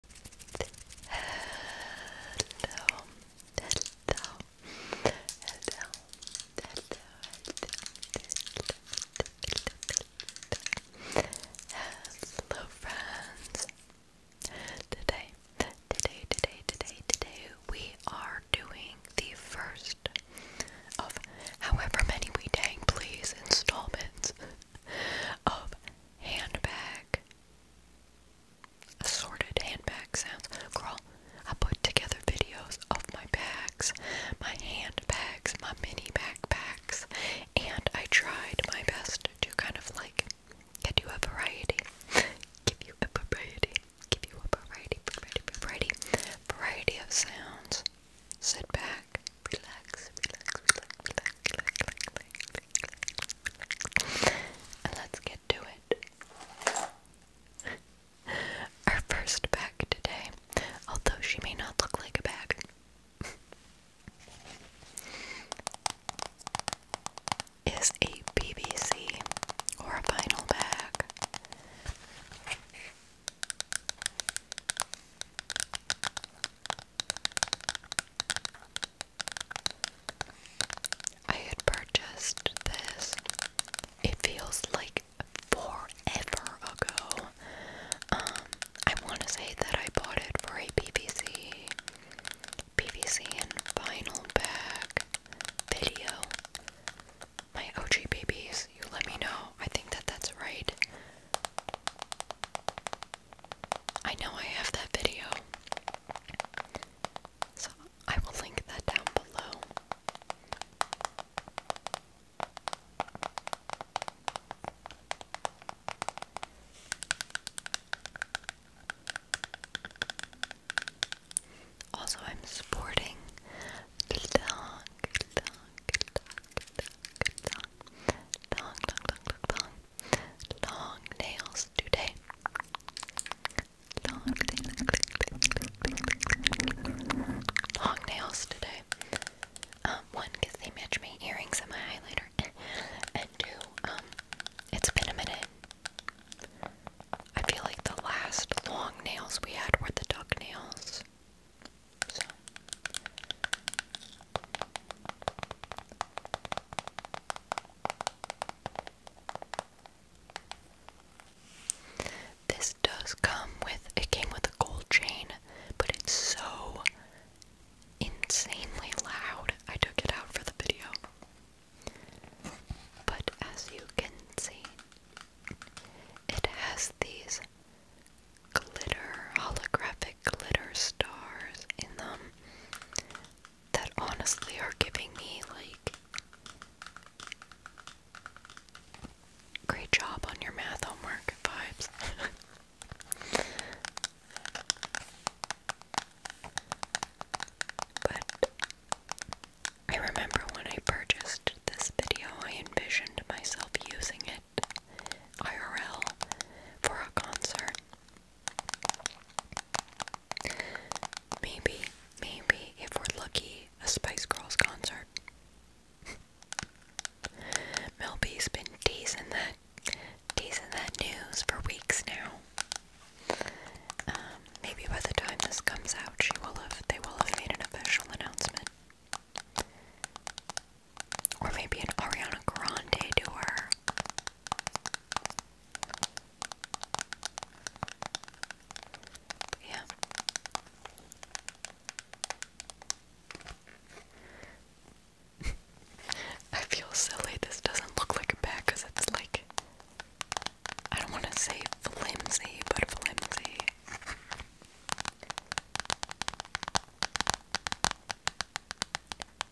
hello, hello, hello, hello, hello, hello friends. Today, today, today, today, today, we are doing the first of however many we dang please installments of handbag Assorted handbag sounds. I put together videos of my bags, my handbags, my mini backpacks, and I tried my best to kind of like get you a variety. Give you a variety. Give you a variety, variety, variety, variety of sounds. Sit back, relax, relax, relax, relax, relax, relax, relax, let's get to it. Our first bag today, although she may not look like a bag. Is a BBC or a vinyl bag. I had purchased this, it feels like forever ago. Um, I want to say that I bought it for a PVC, PVC and vinyl bag video. My OG babies, you let me know. I think that that's right. I know I have that video. So I will link that down below. Also, I'm sporting long nails today. Long nails. today. Um, one, because they match my earrings and my highlighter. and two, um, it's been a minute. I feel like the last long nails we had were the duck nails. This does come with it came with a gold chain, but it's so insanely loud. I took it out for the video. But as you can see, it has these glitter holographic glitter stars in them that honestly are giving me like great job on your math homework vibes. but I remember when I purchased this video, I envisioned myself using it IRL for a concert. Maybe, maybe if we're lucky, a Spice Girls concert. Mel has been teasing that, teasing that news for weeks now. Um, maybe by the time this comes out, she will have, they will have made an official announcement. Or maybe an Ariana Grande tour. Yeah. I feel silly. This doesn't look like a bag because it's like. I don't want to say flimsy, but flimsy.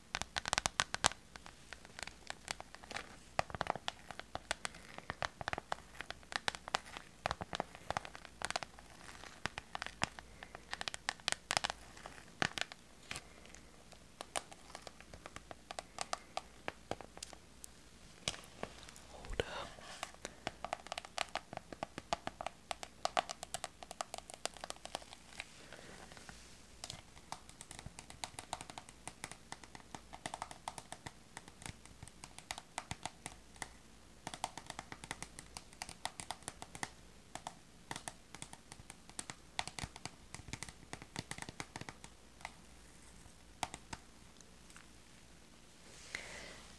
Hold up.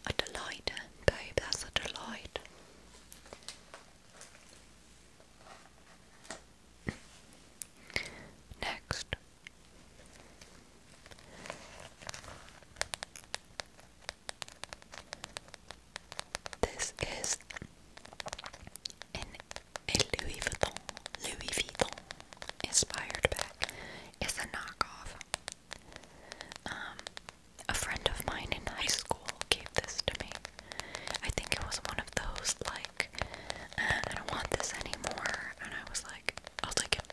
A delight, babe, that's a delight. Next. This is an Louis Vuitton, Louis Vuitton inspired bag. It's a knockoff. Um, a friend of mine in high school gave this to me. I think it was one of those like uh, I don't want this anymore and I was like I'll take it.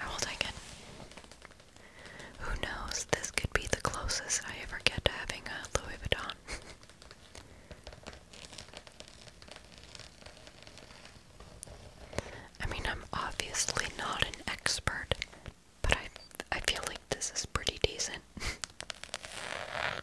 I will take it. Who knows? This could be the closest I ever get to having a Louis Vuitton. I mean, I'm obviously not an expert, but I I feel like this is pretty decent.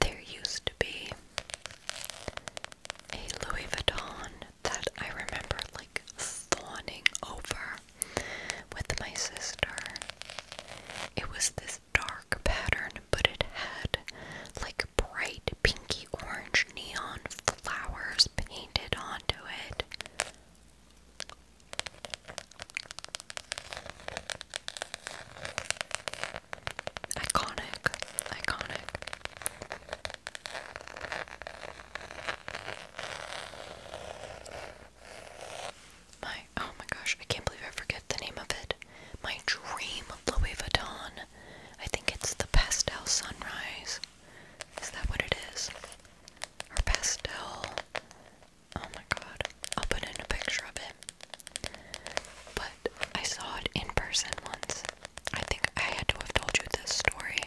there used to be a Louis Vuitton that I remember like fawning over with my sister. It was this dark pattern, but it had like bright pinky orange neon flowers painted onto it. Iconic, iconic. My oh my gosh, I can't believe I forget the name of it. My dream Louis Vuitton. I think it's the pastel sunrise. Is that what it is? Or pastel? Oh my god. I'll put in a picture of it. But I saw it in person once. I think I had to have told you this story.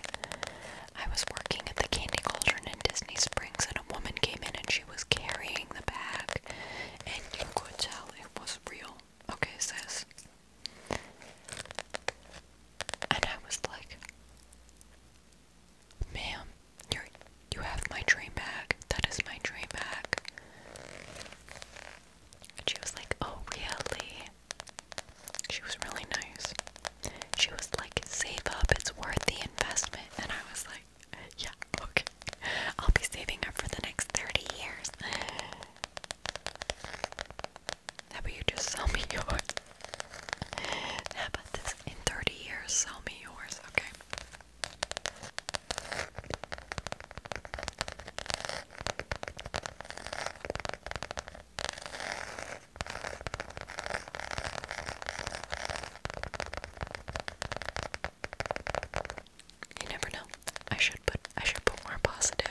I was working at the Candy Cauldron in Disney Springs, and a woman came in and she was carrying the bag, and you could tell it was real. Okay, sis. And I was like, ma'am, you you have my dream bag. That is my dream bag. And she was like, Oh, really? She was really nice. She was like, Save up, it's worth the investment. And I was like, Yeah, okay. I'll be saving up for the next 30 years. How about you just sell me yours? How about this? In 30 years, sell me yours, okay? You never know. I should put I should put more positive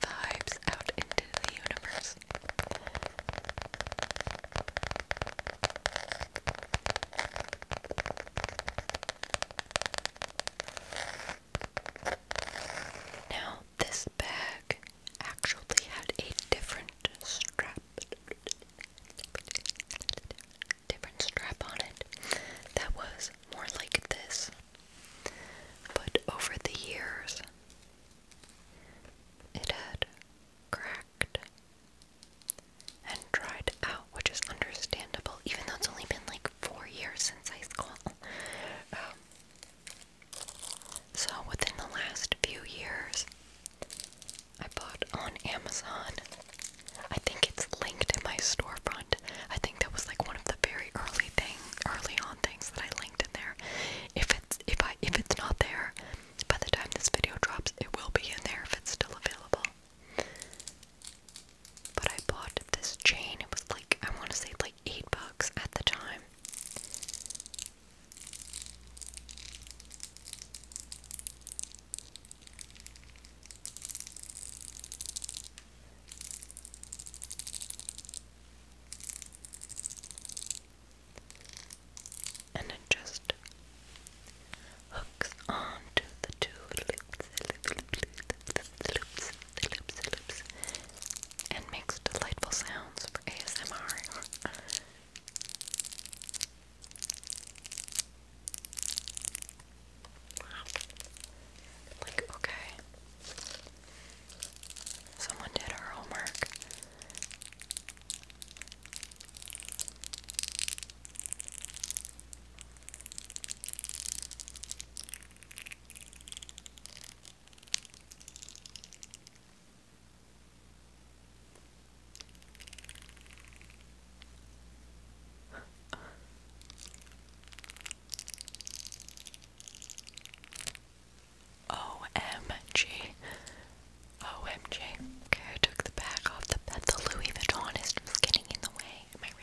vibes out into the universe. Now, this bag actually had a different strap, different strap on it that was more like this. But over the years, it had cracked and dried out, which is understandable, even though it's only been like four years since high school. Um, so, within the last few years, I bought on Amazon. I think it's linked in my storefront. I think that was like one of the very early things, early on things that I linked in there. If it's if I if it's not there, by the time this video drops, it will be in there if it's still available. But I bought this chain. It was like, I want to say like 8 bucks at the time. And it just hooks onto the two loops, loops, loops, loops, loops, loops, and makes delightful sounds for ASMR. Like, okay. Someone did our homework. OMG. OMG. Okay, I took the bag off the bed. The Louis Vuitton is getting in the way. Am I right?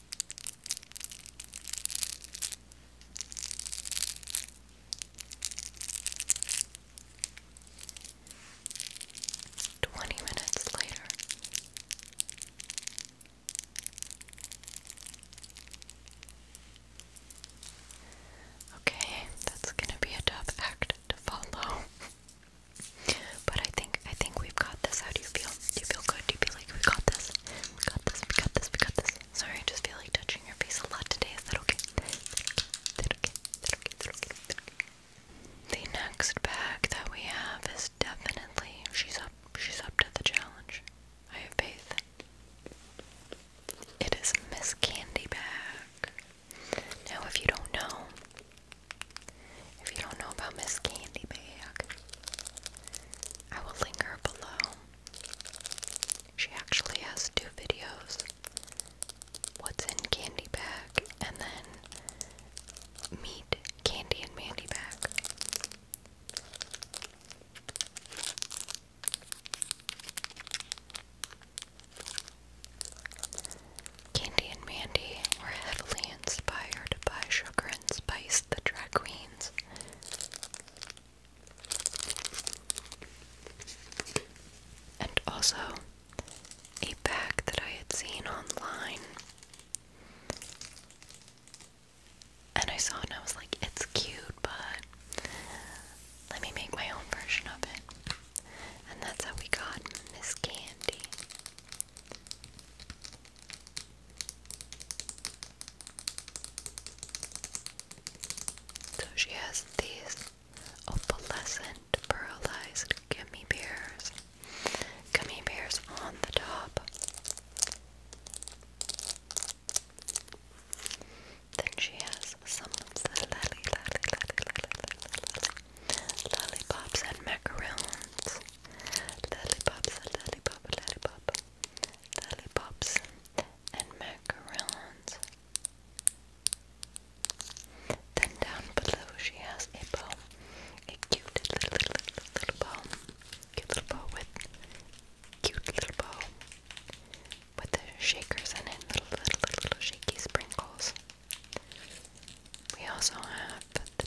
Twenty minutes later. Okay, that's gonna be a tough act to follow. but I think I think we've got this. How do you feel? Do you feel good? Do you feel like we got this? We got this, we got this, we got this. Sorry, I just feel like touching your face a lot today. Is that okay? That okay? That okay? That okay? That okay? The next bag that we have is definitely she's up she's up to the challenge. I have faith. It is Miss Candy Bag. Now if you don't know if you don't know about Miss Candy Bag, I will link her below. She actually has two videos What's in Candy Bag and then Meet Candy and Mandy Bag. Candy and Mandy were heavily inspired by Sugar and Spice the Drag Queens. And also a bag that I had seen online. And I saw it and I was like, it's cute, but let me make my own version of it. And that's how we got Miss Candy. So she has these opalescent pearlized gummy bears. Gummy bears on the top. Then she has some of the lolly, lolly, lolly, lolly, lolly, lollipops and macaroons. Lollipops, lollipop, lollipop lollipops, and macarons. Then down below she has a bow, a cute little, little, little, little bow, cute little bow with, cute little bow with the shakers in it, little, little, little, little shaky sprinkles. We also have the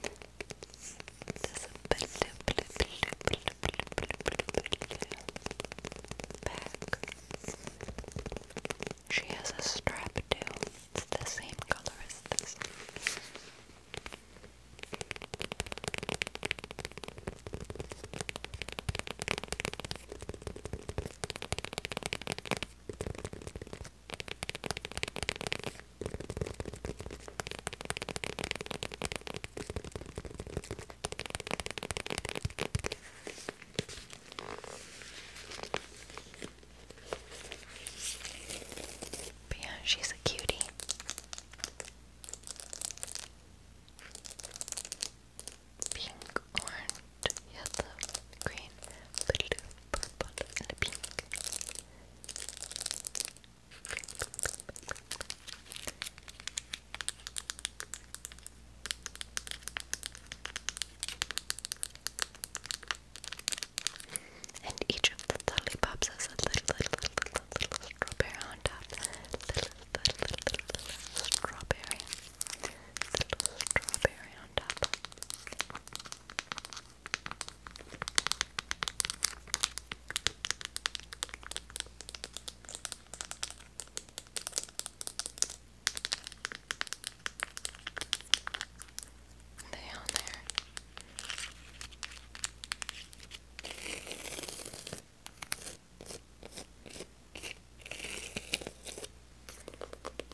there's a blue, blue, blue, blue, blue, blue, blue, blue bag. She has a strap too. It's the same color as this yeah, she's a cutie. Pink, orange, yellow, green, blue, purple, and pink. And each of the pops has a little, little, little, little, little strawberry on top. Little, little, little, little, little strawberry. Little strawberry on top. They on there.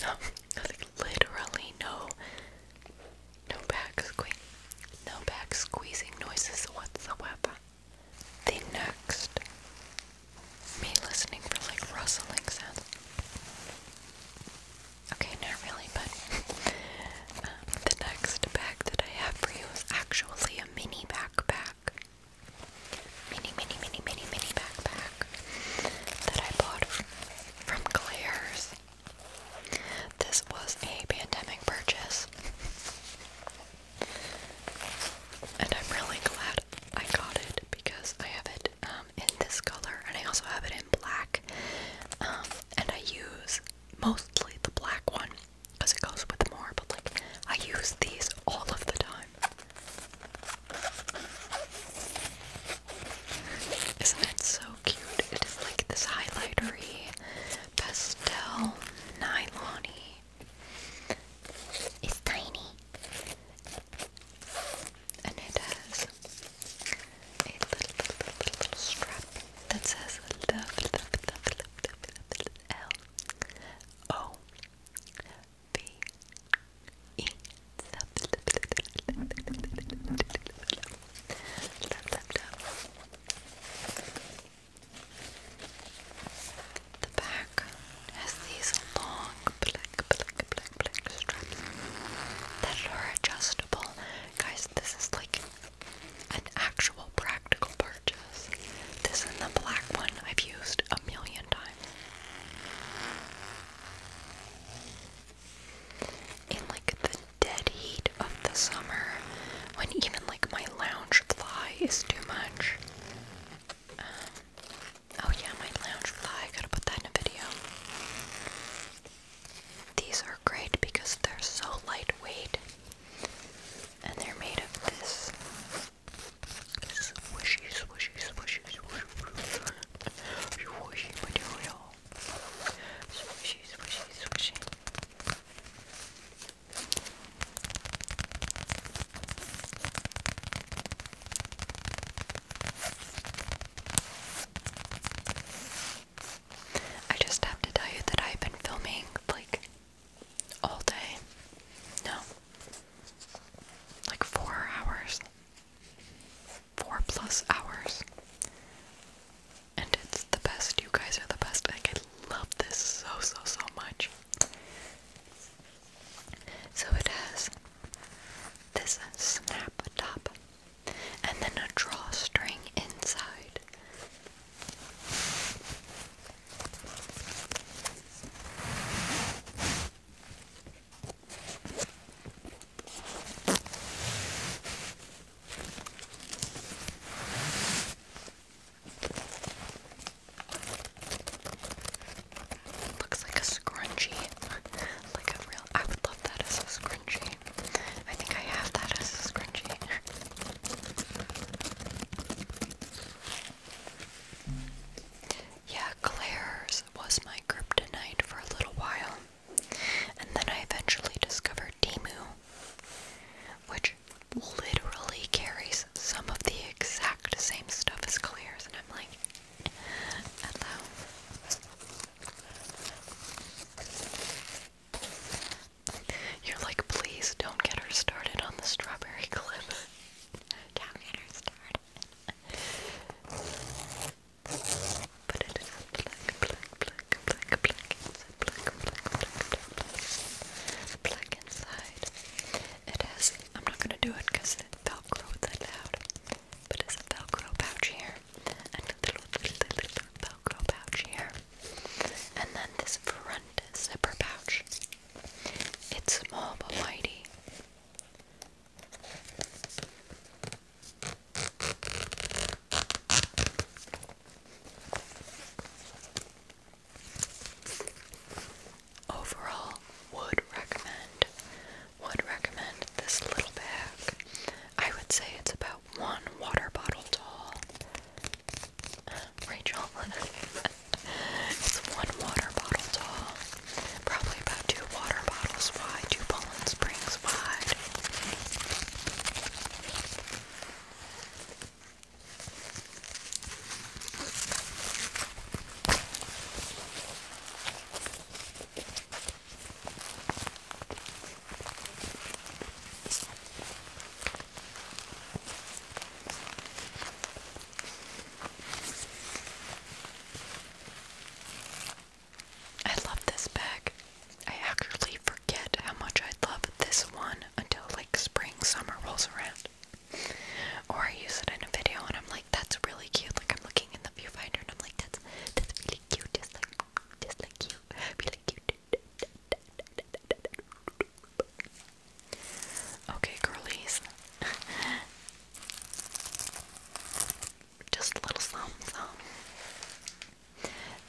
No, literally no, no back squeak, no back squeezing noises whatsoever. The next, me listening for like rustling sounds. Okay, not really, but um, the next bag that I have for you is actually a mini backpack mini, mini, mini, mini, mini backpack that I bought from Claire's. This was a pandemic purchase. And I'm really glad I got it because I have it um, in this color and I also have it in black. Um, and I use mostly the black one because it goes with more, but like I use these all of the time. Isn't it so cute? It is like this highlightery, pastel, nylon -y. It's tiny. And it has a little, little, little, little strap that says love, love, love, love, love, love, O V E. The back has these long black, black, black, black straps that are adjustable. Guys, this is like an actual practical gorgeous. This and the black one I've used a million times. In like the dead heat of the summer, when even like my lounge fly is too much. Um, oh yeah, my lounge fly. gotta put that in a video. These are great because they're so lightweight and they're made of this swishy, swishy, swishy, swishy, material. Swishy, swishy, swishy. I just have to tell you that I've been filming like all day. No. Like four hours. Four plus hours. And it's the best. You guys are the best. Like, I love this so, so, so much. So it has this snap top and then a drawstring inside Looks like a scrunchie, like a real. I would love that as a scrunchie. I think I have that as a scrunchie. Yeah, Claire's was my kryptonite for a little while. And then I eventually discovered Timu, which literally carries some of the exact same stuff as Claire's, and I'm like, hello. You're like, please don't get her started on the strawberry clip. don't get her started. But it is a black, black, black, black, black inside, black, black, black, black, black inside. It has, I'm not gonna do it because it velcro that loud, but it a velcro pouch here, and a little velcro pouch here, and then this front zipper pouch. It's small but mighty. Overall, would recommend would recommend this little bag. I would say it's about one water bottle tall Rachel. it's one water bottle tall. Probably about two water bottles wide, two Poland Springs wide. I love this bag. I actually forget how much I love this one until like spring, summer rolls around. Or I use it in a video and I'm like, that's really cute. Like I'm looking in the viewfinder and I'm like, that's that's really cute, just like just like you. Really cute. Okay, girlies. Just a little something,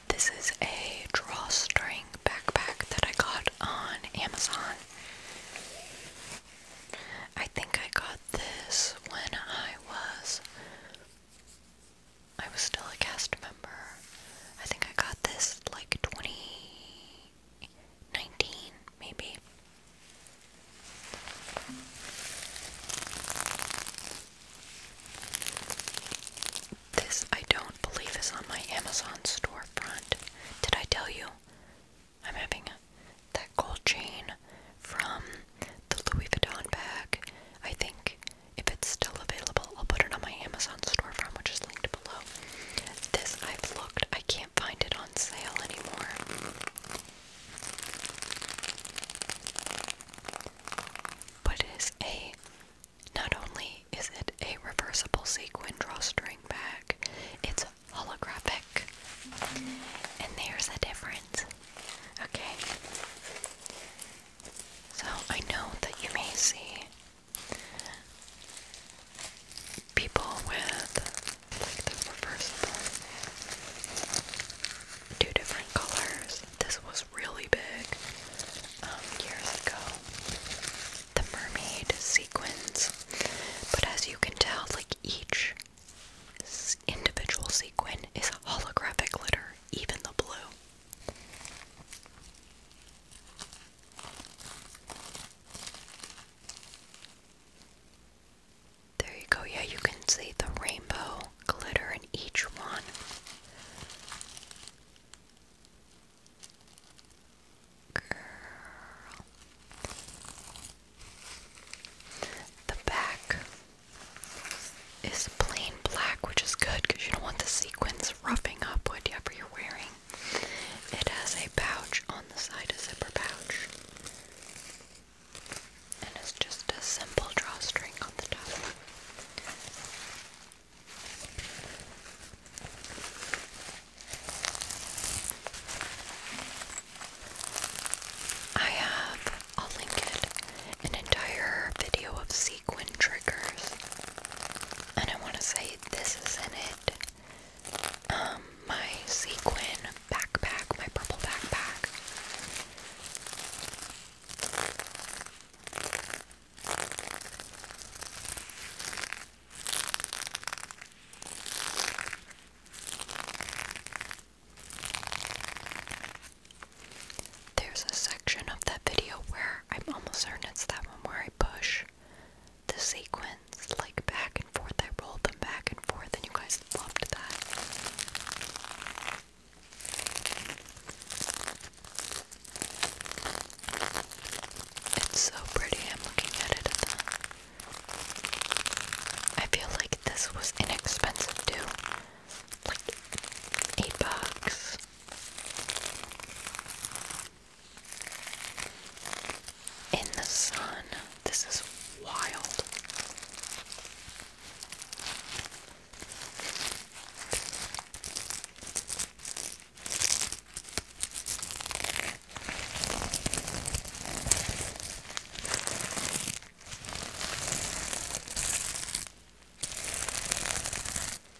This is a drawstring backpack that I got on Amazon. I think I got this when I was I was still a cast member. I think I got this like 20 2019, maybe. This I don't believe is on my Amazon storefront. Did I tell you? I'm having that gold chain from the Louis Vuitton bag. I think if it's still available, I'll put it on my Amazon storefront, which is linked below. This I've looked, I can't find it on sale anymore. But it is a not only is it a reversible sequin drawstring bag, it's holographic. And there's a difference. Okay. So I know that you may see people with like the reversible two different colors. This was really big um, years ago. The mermaid sequins, but as you can tell, like each individual sequin is a holographic glitter, even the blue. There you go. Yeah, you can see the rainbow glitter in each one. Girl. The back is plain black, which is good because you don't want the sequins roughing up whatever you're wearing. It has a pouch on the side, a zipper pouch. And it's just a simple drawstring on the top. I have, I'll link it, an entire video of sequin triggers. And I want to say this is in it. Um, my sequin backpack, my purple backpack. There's a section of that video where I'm almost certain it's that one where I push the sequence, like back and forth. I rolled them back and forth, and you guys loved that. It's so pretty. I'm looking at it. I feel like this was inexpensive too, like eight bucks in the sun. This is wild.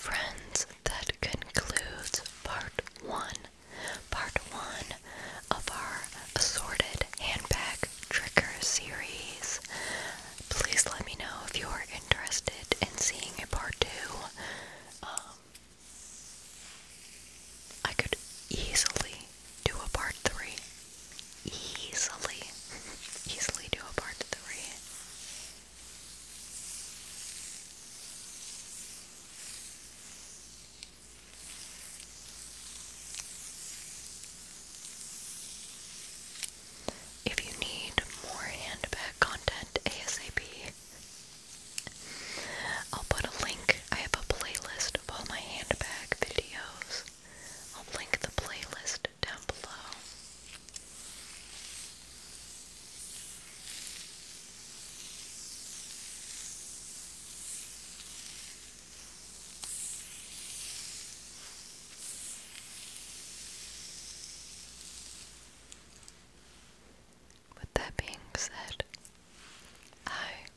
Friends, that concludes part one. Part one of our assorted handbag tricker series. Please let me know if you are interested in seeing a part two. Um, I could easily do a part three. Easily. easily do a part three. If you need more handbag content ASAP, I'll put a link. I have a playlist of all my handbag videos. I'll link the playlist down below. With that being said, I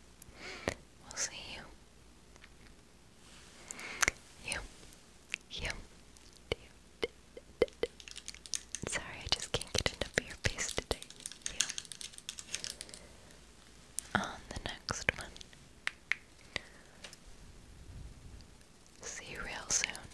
will see you. You. You. Sorry, I just can't get enough of your face today. On the next one. See you real soon.